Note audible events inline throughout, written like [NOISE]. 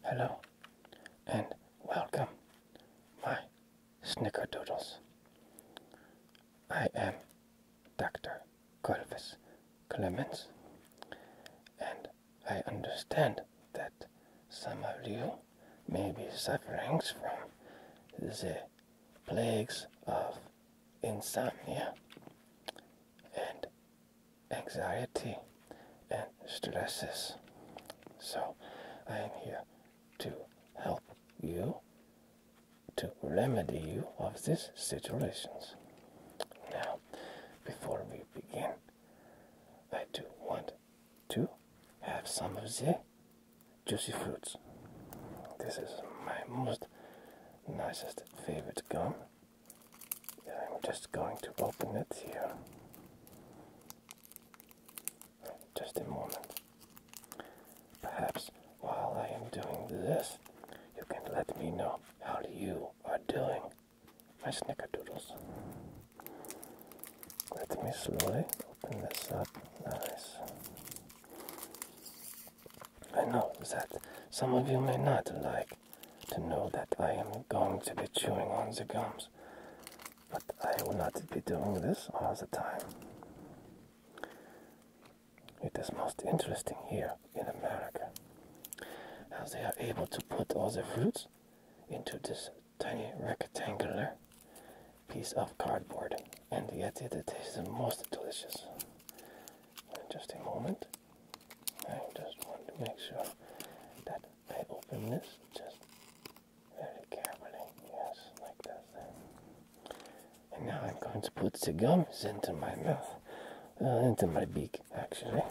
Hello and welcome, my snickerdoodles. I am Dr. Corvus Clements, and I understand that some of you may be suffering from the plagues of insomnia and anxiety and stresses. So I am here to help you to remedy you of these situations. Now, before we begin, I do want to have some of the juicy fruits. This is my most nicest favorite gum I'm just going to open it here. Just a moment. Perhaps while I am doing this, you can let me know how you are doing, my snickerdoodles. Let me slowly open this up. Nice. I know that some of you may not like to know that I am going to be chewing on the gums, but I will not be doing this all the time. It is most interesting here in America how they are able to put all the fruits into this tiny rectangular piece of cardboard, and yet it tastes the most delicious. Just a moment, I just want to make sure that I open this just very carefully. Yes, like that. And now I'm going to put the gums into my mouth, uh, into my beak, actually.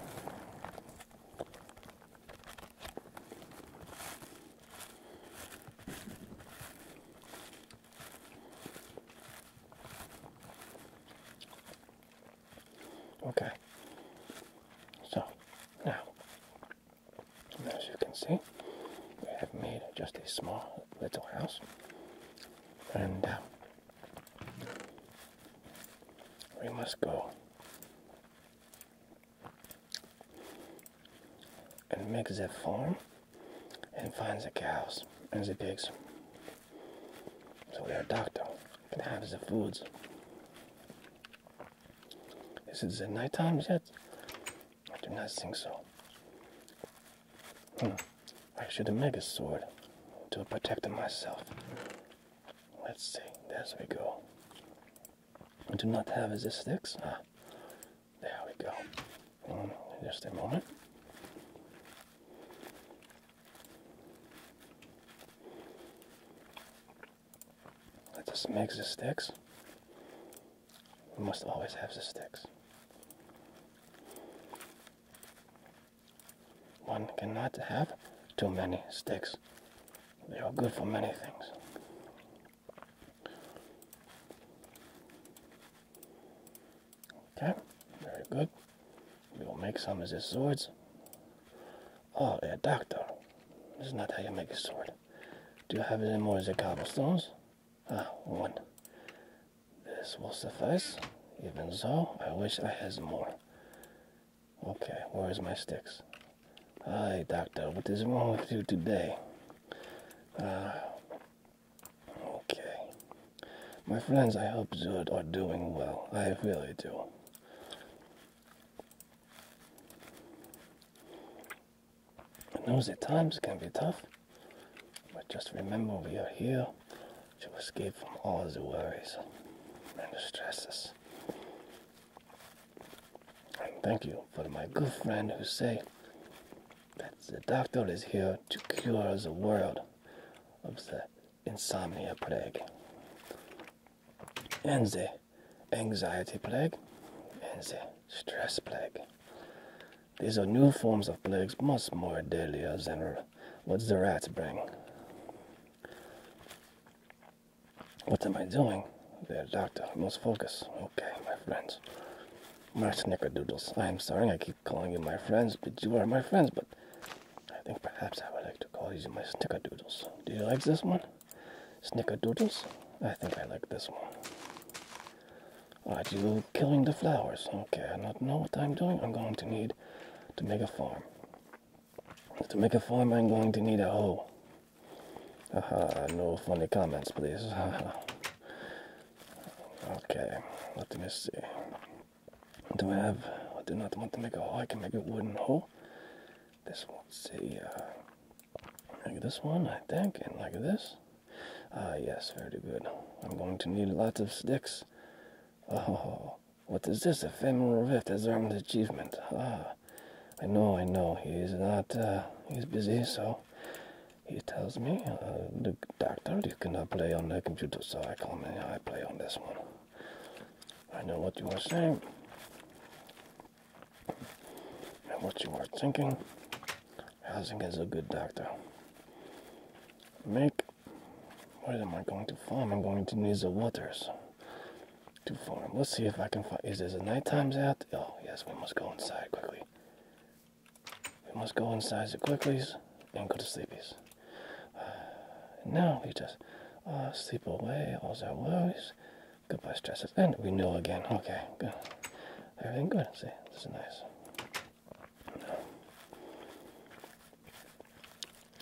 Okay. So now, as you can see, we have made just a small little house, and uh, we must go and make the farm and find the cows and the pigs. So we are doctor and have the foods. Is it the night time yet? I do not think so. Hmm. I should make a sword to protect myself. Let's see. There we go. I do not have the sticks. Ah, there we go. Hmm, just a moment. Let this make the sticks. We must always have the sticks. One cannot have too many sticks. They are good for many things. Okay, very good. We will make some of these swords Oh, a doctor. This is not how you make a sword. Do you have any more of the cobblestones? Ah, one. This will suffice. Even so, I wish I had more. Okay, where is my sticks? Ah, doctor, what is wrong with you today? Ah, okay. My friends, I hope Zod are doing well. I really do. And those at times can be tough, but just remember we are here to escape from all the worries and the stresses. And thank you for my good friend who say that the doctor is here to cure the world of the insomnia plague and the anxiety plague and the stress plague. These are new forms of plagues, much more deadly than what the rats bring. What am I doing? There, doctor, I must focus. Okay, my friends. My snickerdoodles. I am sorry I keep calling you my friends, but you are my friends, but I think perhaps I would like to call you my snickerdoodles. Do you like this one? Snickerdoodles. I think I like this one. Are you killing the flowers? Okay, I don't know what I'm doing. I'm going to need to make a farm. To make a farm, I'm going to need a hoe. Haha, no funny comments, please. [LAUGHS] okay, let me see. Do I have. I do not want to make a hoe. I can make a wooden hoe. This one, see, uh, like this one, I think, and like this. Ah, yes, very good. I'm going to need lots of sticks. Oh, what is this? Ephemeral Rift has earned achievement. Ah, I know, I know. He's not, uh, he's busy, so he tells me, the uh, doctor, you cannot play on the computer, so I come and I play on this one. I know what you are saying and what you are thinking. Housing is a good doctor. Make. Where am I going to farm? I'm going to need the waters to farm. Let's see if I can find. Is it a night times out? Oh, yes, we must go inside quickly. We must go inside the quicklies and go to sleepies. [SIGHS] now we just uh, sleep away all our worries. Goodbye stresses. And we know again. Okay, good. Everything good. See, this is nice.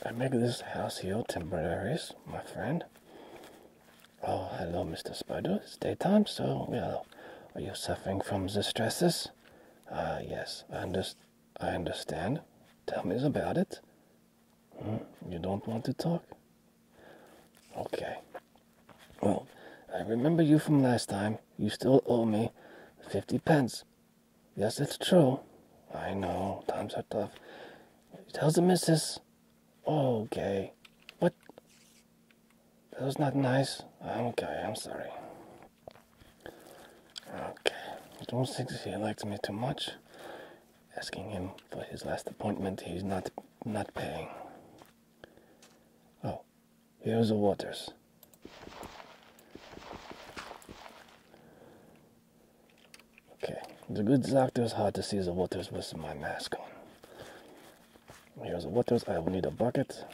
I make this house here temporary, my friend. Oh, hello, Mr. Spider. It's daytime, so, well, are you suffering from the stresses? Ah, yes, I understand. Tell me about it. You don't want to talk? Okay. Well, I remember you from last time. You still owe me 50 pence. Yes, it's true. I know, times are tough. He tells the missus, okay. Oh, what? That was not nice. Okay, I'm sorry. Okay. Don't think she likes me too much asking him for his last appointment. He's not not paying. Oh, here's the waters. Okay, the good doctor's hard to see the waters with my mask on. Here's the waters. I will need a bucket.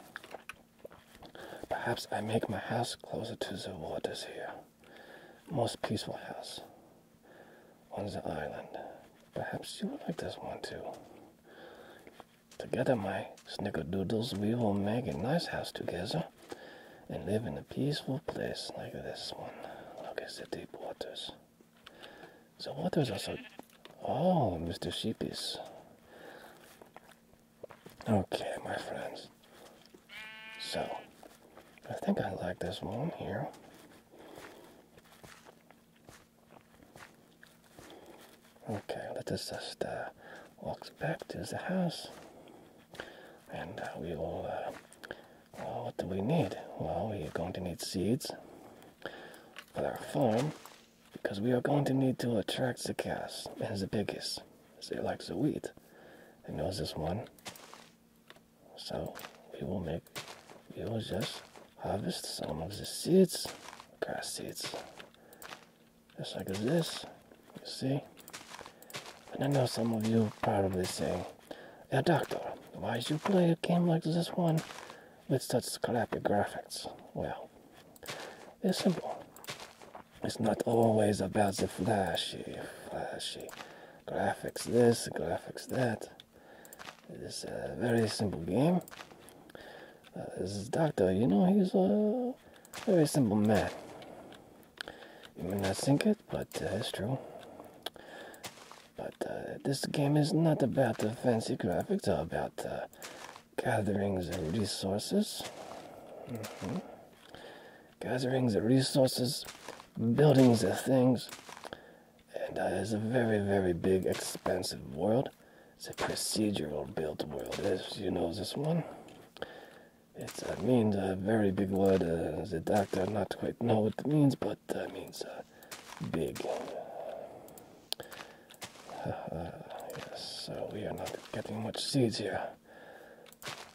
Perhaps I make my house closer to the waters here. Most peaceful house on the island. Perhaps you would like this one too. Together, my snickerdoodles, we will make a nice house together and live in a peaceful place like this one. Look at the deep waters. The waters are so. Oh, Mr. Sheepies. Okay, my friends. So, I think I like this one here. Okay, let us just uh, walk back to the house and uh, we will. Uh, what do we need? Well, we are going to need seeds for our farm because we are going to need to attract the cows and the piggies. They like the wheat. They knows this one. So we will make, we will just harvest some of the seeds, grass seeds, just like this, you see. And I know some of you probably say, yeah, Doctor, why do you play a game like this one with such crappy graphics? Well, it's simple. It's not always about the flashy, flashy graphics this, graphics that. It is a very simple game. Uh, this is Doctor, you know, he's a very simple man. You may not think it, but uh, it's true. But uh, this game is not about the fancy graphics or about uh, gatherings of resources. Mm-hmm. Gatherings of resources, buildings of things, and it's a very, very big, expensive world. It's a procedural built world, as you know this one. It means a very big word. Uh, the doctor not quite know what it means, but uh, it means uh, big. [LAUGHS] yes, so we are not getting much seeds here.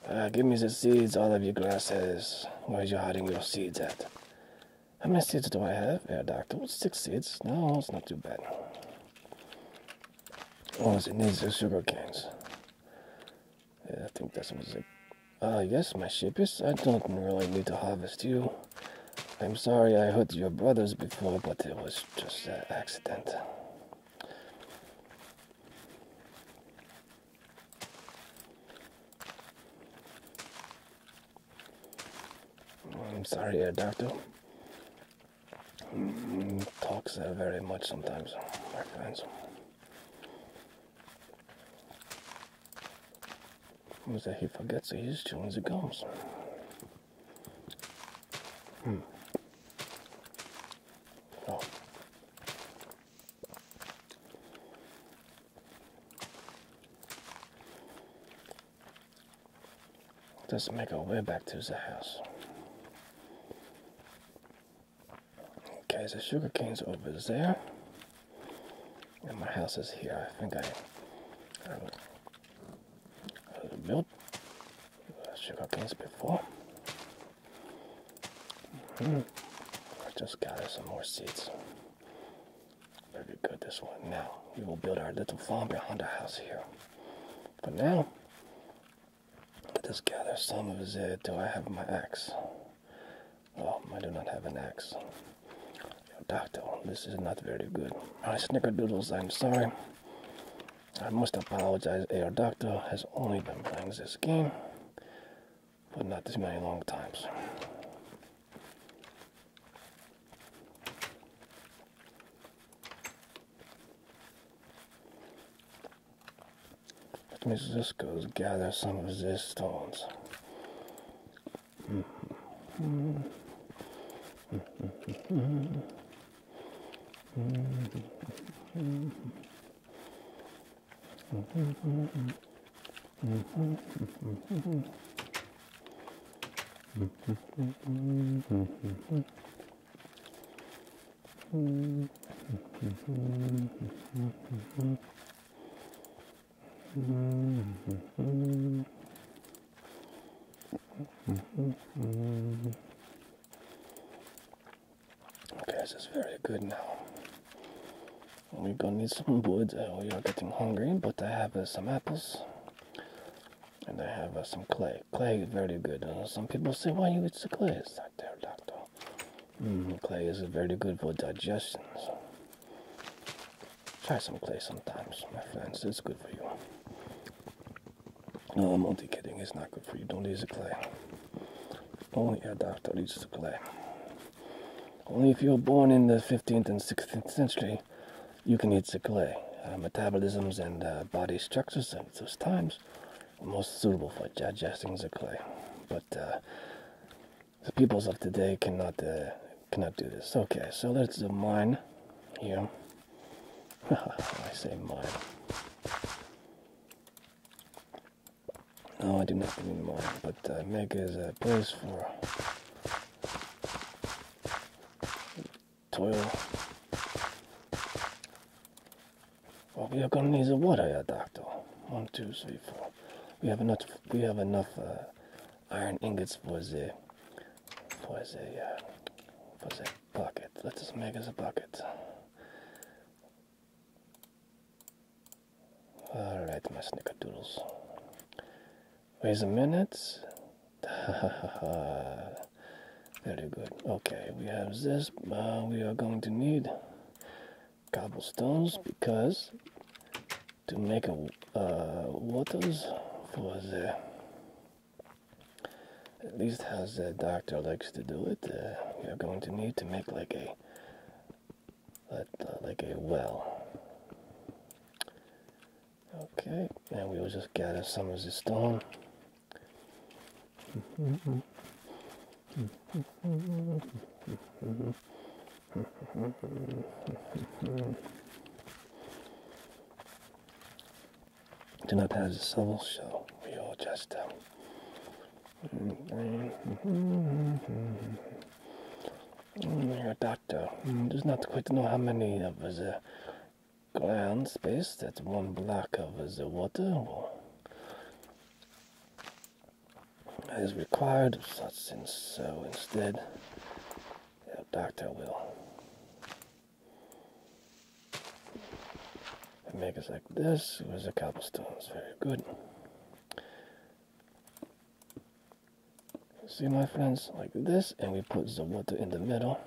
Uh, give me the seeds, all of you grasses. Where are you hiding your seeds at? How many seeds do I have? doctor? Six seeds. No, it's not too bad. Oh, it needs is sugar canes. Yeah, I think that's was it. Uh, yes, my ship is. I don't really need to harvest you. I'm sorry I hurt your brothers before, but it was just an accident. Oh, I'm sorry, uh, Doctor. Mm, talks uh, very much sometimes, uh, my friends. Is he forgets his tune as he hmm. comes. Oh. Let's make our way back to the house. Okay, the sugar cane's over there. And my house is here. I think I, built uh, sugar canes before. Mm-hmm. I just got some more seeds. Very good, this one. Now, we will build our little farm behind the house here. But now, let us gather some of the... Do I have my axe? Oh, I do not have an axe. doctor, this is not very good. My snickerdoodles, I'm sorry. I must apologize. Air Doctor has only been playing this game but not this many long times. Which means this goes gather some of his stones. Okay, this is very good now. We're gonna need some wood. Uh, we are getting hungry, but I have uh, some apples. And I have uh, some clay. Clay is very good. some people say, why you eat the clay? It's not there, doctor. Mm, clay is very good for digestion. Try some clay sometimes, my friends. It's good for you. No, I'm only kidding. It's not good for you. Don't eat the clay only a doctor leads to play. Only if you're born in the 15th and 16th century, you can eat the clay. Uh, metabolisms and uh, body structures at those times are most suitable for digesting the clay. But uh, the peoples of today cannot cannot do this. Okay, so let's mine here. [LAUGHS] I say mine. No, I do not mean but uh, Meg is a uh, place for toil. Well, we are going to need the water here, Doctor. One, two, three, four. We have enough. We have enough uh, iron ingots for the for the bucket. Let us make us a bucket. Alright, my snickerdoodles. Wait a minute. [LAUGHS] Very good. Okay, we have this. Uh, we are going to need cobblestones because to make a uh, waters for the at least how the doctor likes to do it uh, we are going to need to make like a uh, like a well. Okay, and we will just gather some of this stone. Do not have the soul, so we all just um, you doctor. does not quite know how many of the uh, ground space That's one block of the uh, water is required of So instead, the doctor will make us like this Was a the cobblestones. Very good. See my friends, like this, and we put the water in the middle.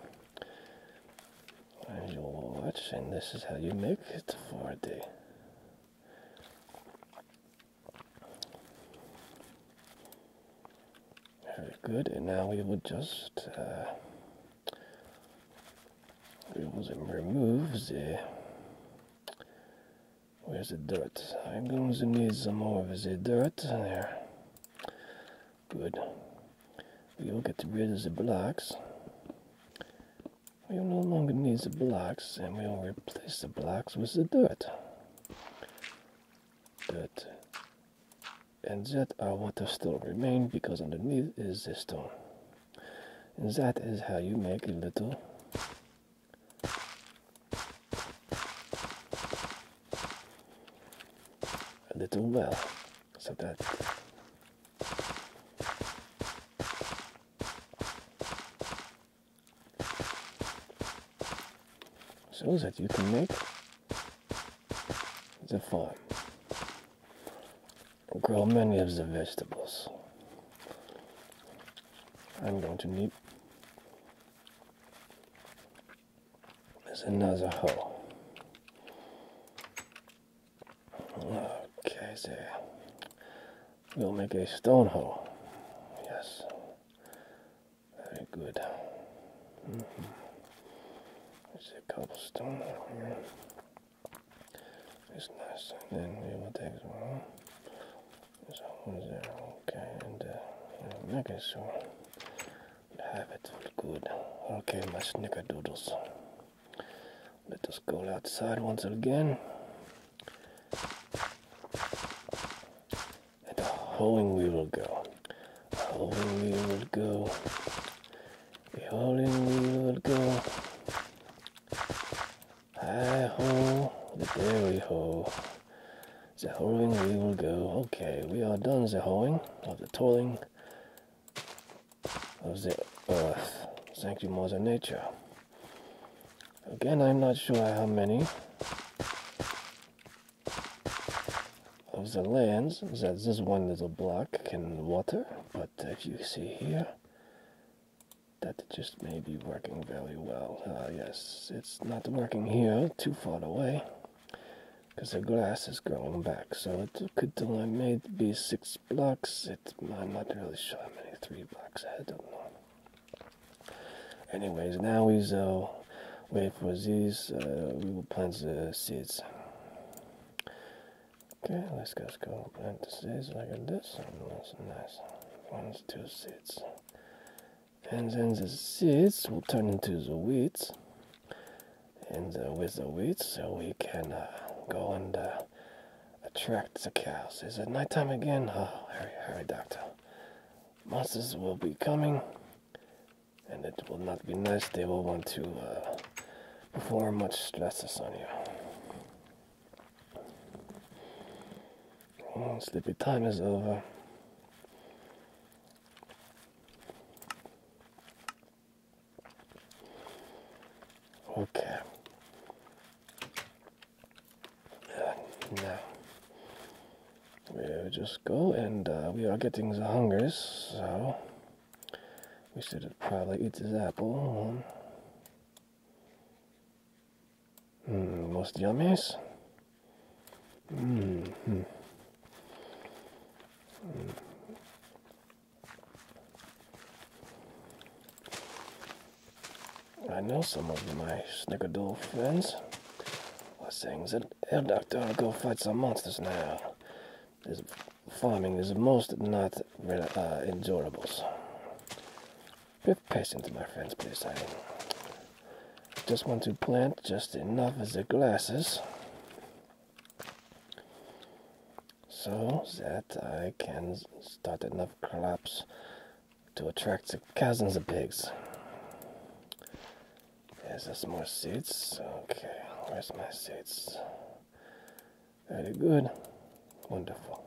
And you will watch, and this is how you make it for a day. Very good, and now we will just uh, we will remove the Where's the dirt? I'm going to need some more of the dirt. There. Good. We will get rid of the blocks. We will no longer need the blocks and we will replace the blocks with the dirt. Dirt. And that water still remain because underneath is the stone. And that is how you make a little a little well so that so that you can make the farm grow many of the vegetables I'm going to need There's another hole. Okay, there. We'll make a stone hole. Yes. Very good. Mm -hmm. There's a couple stones here. It's nice. And we will take one. So Okay, and uh, Megasaur. Have it good. Okay, my snickerdoodles. Let us go outside once again. And howling we will go. Howling we will go. Howling we will go. Hi ho, the dairy ho. The hoeing we will go. Okay, we are done the hoeing of the toiling of the earth. Thank you, Mother Nature. Again, I'm not sure how many of the lands that this one little block can water, but if you see here, that just may be working very well. Uh, yes, it's not working here, too far away, because the grass is growing back. So it could only maybe six blocks. It, I'm not really sure how many three blocks I don't know. Anyways, now we uh, wait for these. Uh, we will plant the seeds. Okay, let's just go plant the seeds like this. And that's nice. One, two seeds and then the seeds will turn into the weeds and with the weeds so we can uh, go and uh, attract the cows is it nighttime again oh hurry hurry doctor monsters will be coming and it will not be nice they will want to uh, perform much stresses on you Oh, sleepy time is over. Okay. Uh, we'll just go, and uh, we are getting the hungers, so we should probably eat this apple. Mm, los -hmm. I know some of my snickerdoodle friends are saying that Air Doctor go fight some monsters now. This farming is most not uh, endurable. With patience, my friends, please. I just want to plant just enough of the glasses so that I can start enough crops to attract the cousins of pigs. There's just more seeds. Okay, where's my seeds? Very good. Wonderful.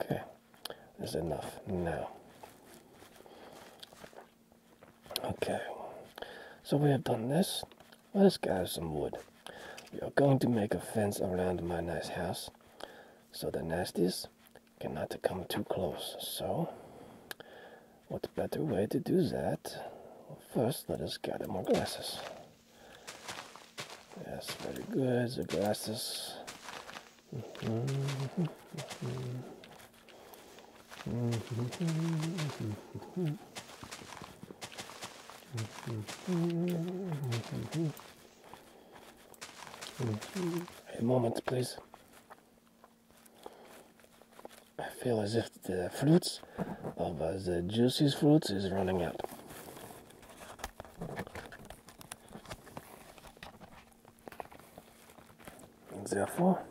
Okay is enough now. Okay, so we have done this. Let us gather some wood. We are going to make a fence around my nice house so the nasties cannot come too close. So, what better way to do that? first, let us gather more glasses. Yes, very good. The glasses. A moment, please. I feel as if the fruits of uh, the juicy fruits is running out. Therefore,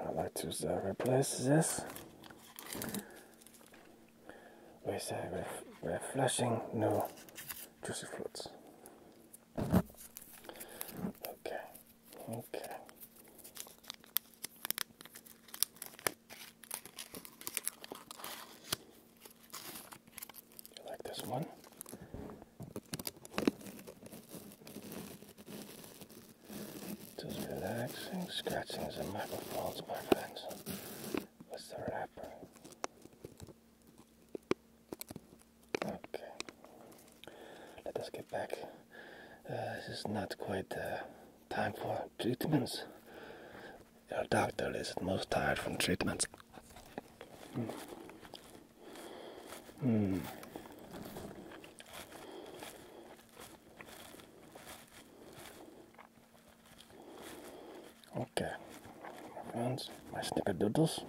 I like to replace this with a ref refreshing new juicy fruits. Okay, okay. You like this one? Just relaxing, scratching the microphones, my friends. What's the wrapper? Okay. Let us get back. Uh, this is not quite uh, time for treatments. Your doctor is most tired from treatments. Hmm. Hmm. Okay, my friends, my snickerdoodles.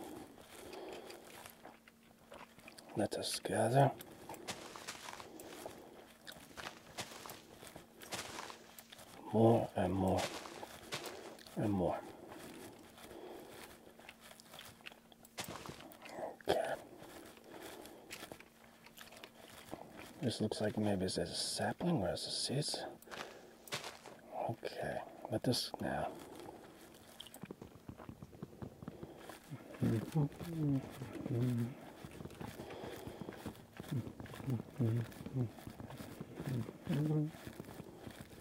Let us gather. More and more and more. Okay. This looks like maybe it's a sapling. Where's the seeds? Okay, but this now.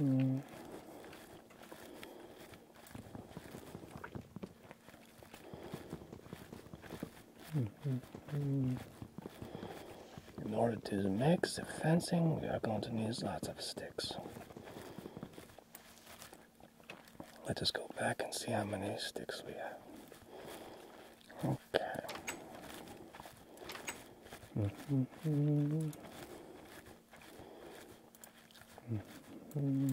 In order to make the fencing, we are going to need lots of sticks. Let us go back and see how many sticks we have. Okay. Mm -hmm. Mm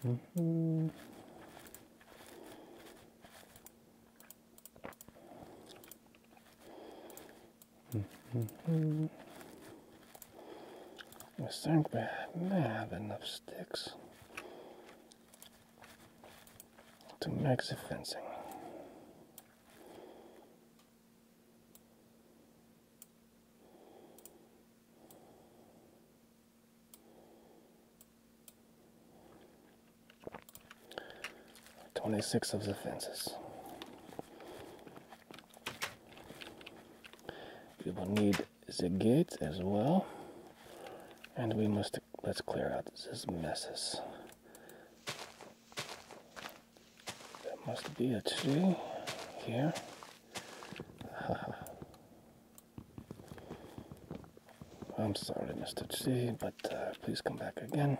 -hmm. -hmm. I think we may have enough sticks to the fencing. Twenty six of the fences. We will need the gate as well, and we must let's clear out this messes. That must be a tree here. [LAUGHS] I'm sorry, Mr. Tree, but uh, please come back again.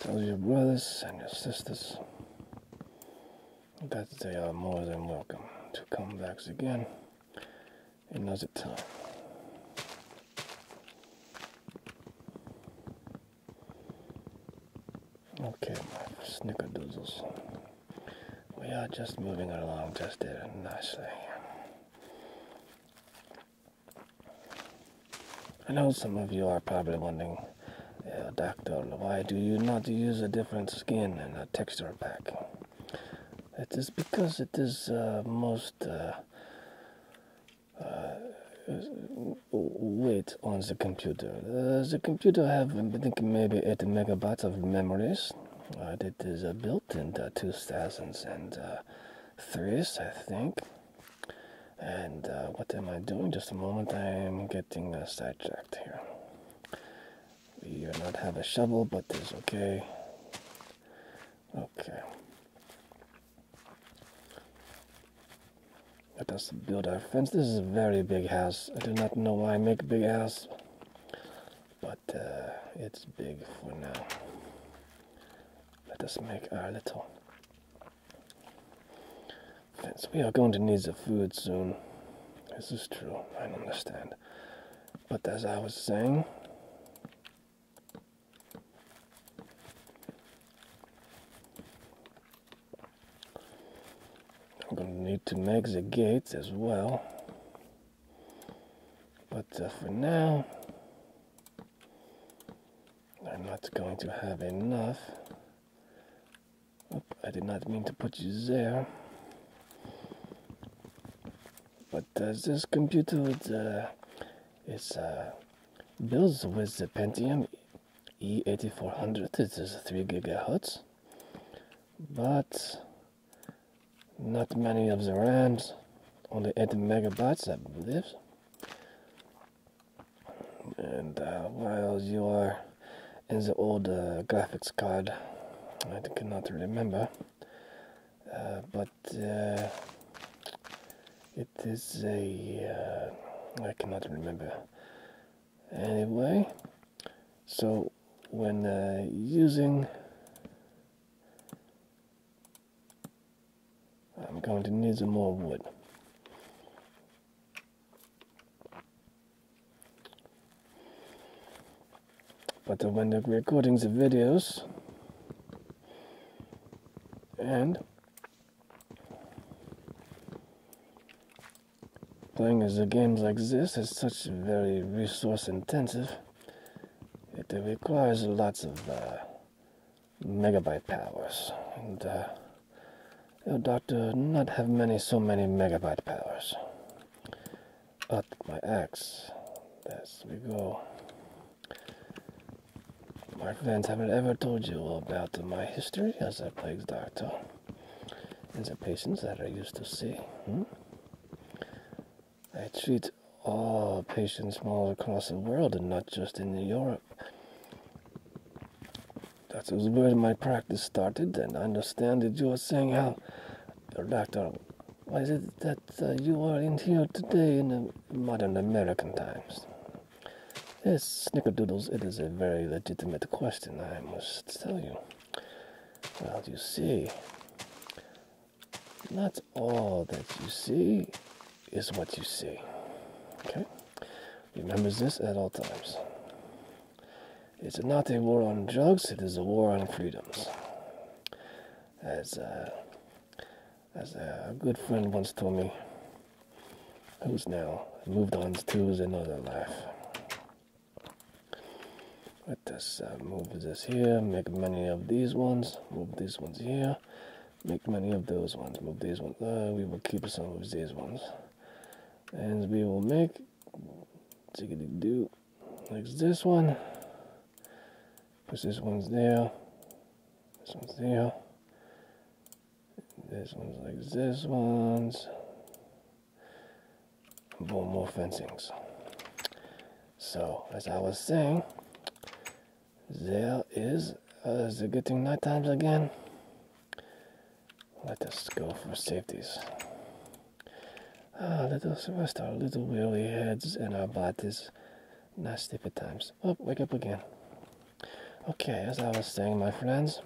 Tell your brothers and your sisters that they are more than welcome to come back again another time. Okay, snickerdoodles. We are just moving along just doing nicely. I know some of you are probably wondering, Doctor, why do you not use a different skin and a texture pack? It is because it is uh, most uh, uh, weight on the computer. the computer have I think maybe eight megabytes of memories. that is built in the two thousands and threes, I think. And what am I doing? Just a moment, I am getting sidetracked here. We do not have a shovel, but it's okay. Okay. Let us build our fence. This is a very big house. I do not know why I make big house, but uh, it's big for now. Let us make our little fence. We are going to need the food soon. This is true. I understand. But as I was saying, I'm going to need to make the gates as well. But uh, for now, I'm not going to have enough. I did not mean to put you there. But uh, this computer is, uh, uh, built with the Pentium E8400. It is 3 gigahertz, but not many of the RAMs, only 8 megabytes, I believe. And while you are in the old graphics card, I cannot remember. Uh, but uh, it is a uh, I cannot remember anyway so when using I'm going to need some more wood but when recording the videos and playing the games like this is such very resource intensive it requires lots of uh, megabyte powers and uh, oh, doctor not have many so many megabyte powers at my axe. Yes, we go. My friends, haven't ever told you about my history as a plague doctor and the patients that I used to see. Hmm? I treat all patients from all across the world and not just in Europe. That's where my practice started, and I understand that you are saying how doctor why is it that uh, you are in here today in uh, modern American times. Yes, Snickerdoodles, it is a very legitimate question, I must tell you. Well, you see, not all that you see is what you see. Okay? Remember this at all times. It's not a war on drugs, it is a war on freedoms as uh, as a good friend once told me, who's now moved on to is another life. Let us uh, move this here, make many of these ones, move these ones here, make many of those ones, move these ones. Uh, we will keep some of these ones, and we will make. There's this one. Because this one's there. This one's there. This one's like this one's. Boom, more fencings. So, as I was saying, there is, uh, getting night times again? Let us go for safeties. Ah, let us rest our little weary heads and our bodies. Not at times. Oh, wake up again. Okay, as I was saying, my friends,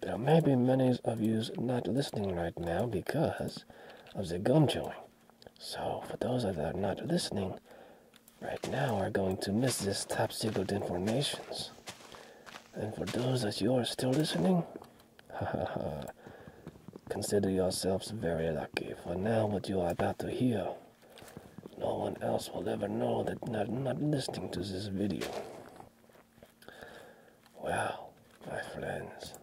there may be many of yous not listening right now because of the gum chewing. So, for those of that are not listening right now, are going to miss this top secret informations. And for those that you are still listening, consider yourselves very lucky, for now what you are about to hear, no one else will ever know that they're not listening to this video. Well, my friends,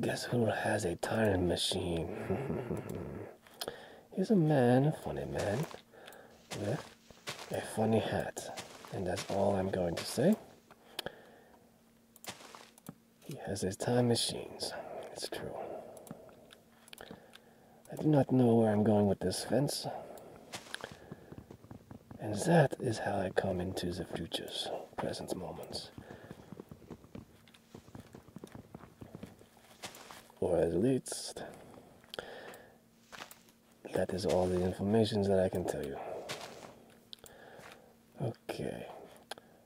guess who has a time machine? [LAUGHS] He's a man, a funny man, with a funny hat, and that's all I'm going to say. He has his time machines, it's true. I do not know where I'm going with this fence. And that is how I come into the future's present moments. Or at least that is all the information that I can tell you. Okay.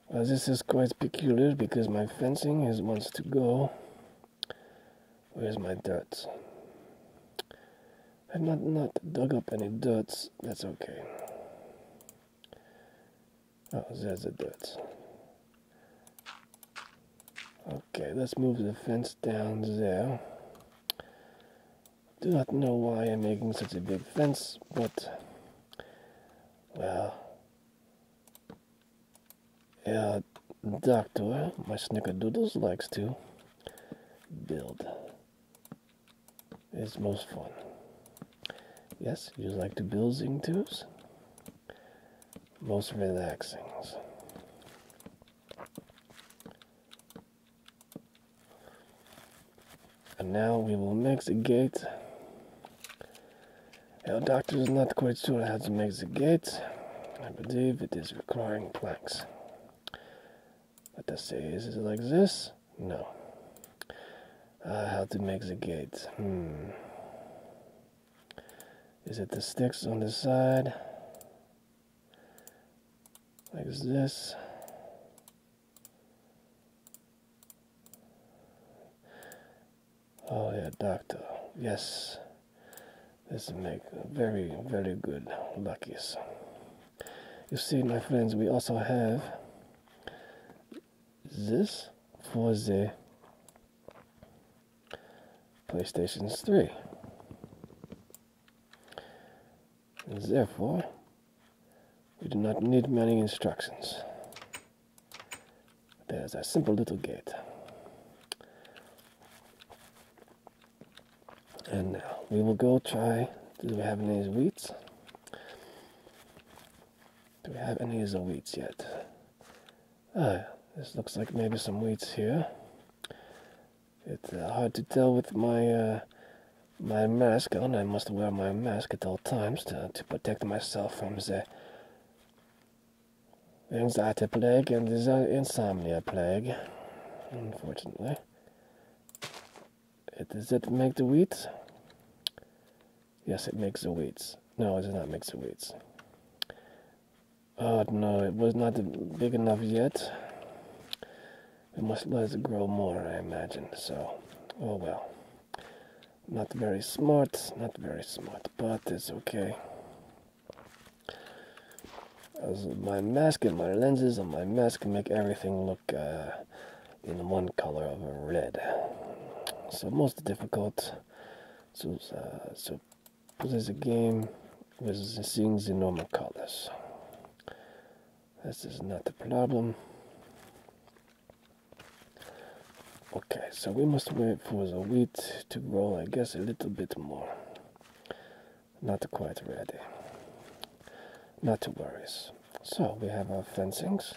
Well, this is quite peculiar because my fencing is wants to go. Where's my dirt? I've not, not dug up any dirt. That's okay. Oh, there's the dirt. Okay, let's move the fence down there. Do not know why I'm making such a big fence, but well, yeah, doctor, my snickerdoodles likes to build. It's most fun. Yes, you like to build zing Most relaxings. And now we will make the gate. Our doctor is not quite sure how to make the gate. I believe it is requiring planks. Let us say, is it like this? No. Uh, how to make the gate? Hmm. Is it the sticks on the side? like this. Oh yeah, doctor. Yes, this make very very good luckies. You see, my friends, we also have this for the PlayStation 3. Therefore, we do not need many instructions. There's a simple little gate. And now we will go try. Do we have any weeds? Do we have any of the wheats yet? Ah, this looks like maybe some weeds here. It's uh, hard to tell with my uh, my mask on. I must wear my mask at all times to, to protect myself from the anxiety plague and the insomnia plague. Unfortunately, does it make the wheat? Yes, it makes the wheats. No, it does not make the wheats. Oh no, it was not big enough yet. It must let it grow more, I imagine. So, oh well. Not very smart, not very smart, but it's okay. As my mask and my lenses and my mask make everything look uh, in one color of red. So most difficult. So, uh, so this is a game with the things in normal colors. This is not a problem. Okay, so we must wait for the wheat to grow, I guess, a little bit more. Not quite ready. Not to worry. So we have our fencings.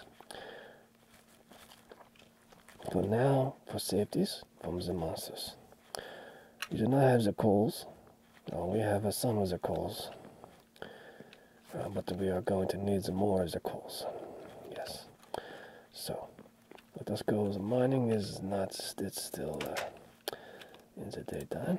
For now, for safeties, from the masses. We do not have the coals. No, we have a son with the coals. Uh, but we are going to need some more of the coals. Yes. So, let us go. mining is not, it's still uh, in the daytime.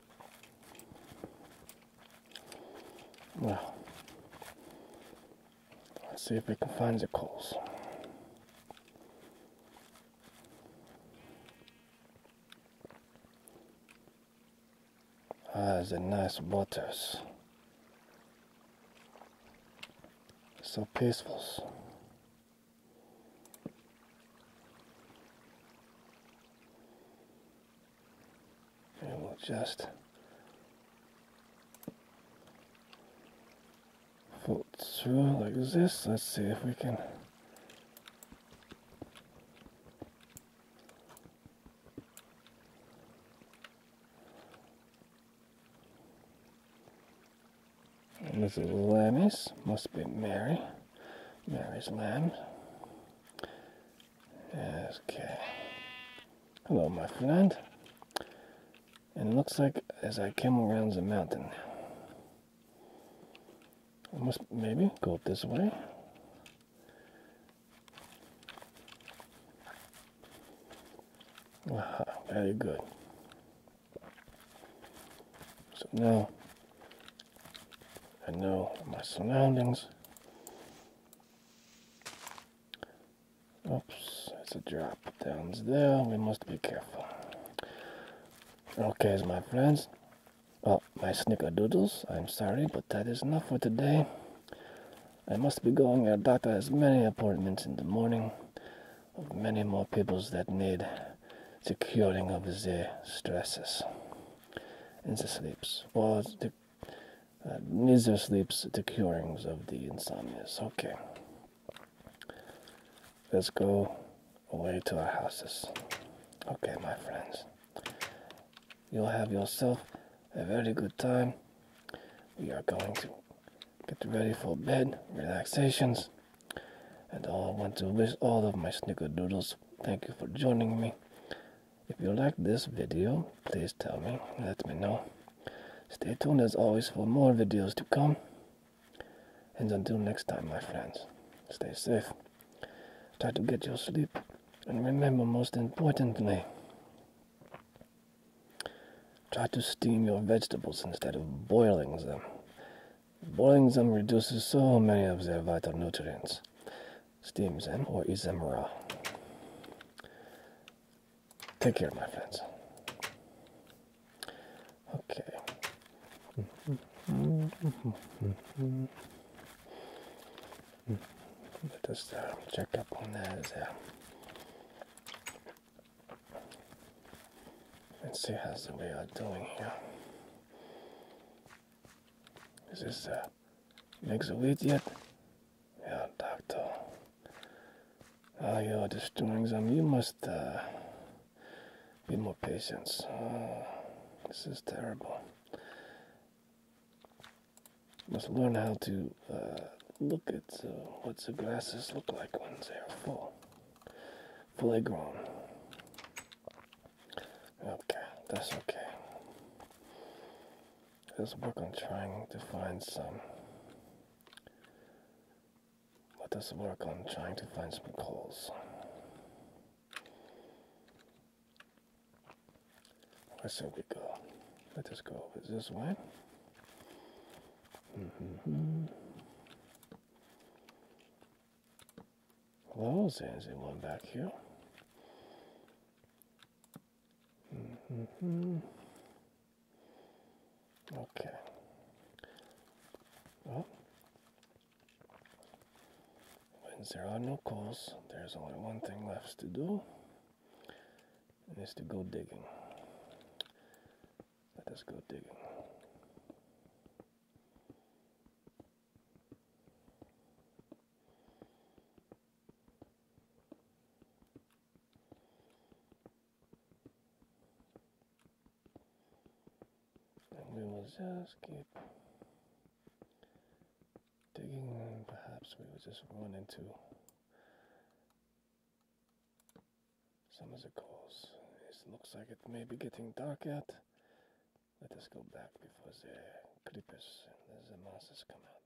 Well, let's see if we can find the coals. Ah, a nice waters. So peaceful and we'll just fold through like this. Let's see if we can. This is lammies, must be Mary, Mary's lamb. Okay. Hello, my friend. And it looks like as I come around the mountain, I must maybe go this way. very good. So now I know my surroundings. Oops, it's a drop downs there. We must be careful. Okay, my friends. Oh, my snickerdoodles. I'm sorry, but that is not for today. I must be going. Our doctor has many appointments in the morning of many more peoples that need the curing of their stresses and the sleeps or the uh, Miser sleeps the curings of the insomnias. Okay. Let's go away to our houses. Okay, my friends. You'll have yourself a very good time. We are going to get ready for bed, relaxations, and I want to wish all of my snickerdoodles thank you for joining me. If you like this video, please tell me, let me know. Stay tuned as always for more videos to come. And until next time, my friends, stay safe. Try to get your sleep. And remember, most importantly, try to steam your vegetables instead of boiling them. Boiling them reduces so many of their vital nutrients. Steam's or Izamura. Take care, my friends. Okay. Let us um, check up on that. Uh, let's see how we are doing here. This is uh, Make the weight yet? Yeah, doctor. Ah, you're destroying them. You must uh, be more patient. Ah, this is terrible. Must learn how to uh, look at uh, what the grasses look like when they are full, fully Okay, that's okay. Let's work on trying to find some. Let us work on trying to find some coals. Where should we go? Let us go this way. Mm -hmm. Well, there's anyone back here. Mm-hmm. Okay. Well, when there are no coals, there's only one thing left to do, and it's to go digging. Let us go digging we will just keep digging and perhaps we will just run into some of the calls. It looks like it may be getting dark yet. Let us go back before the creepers and the masses come out.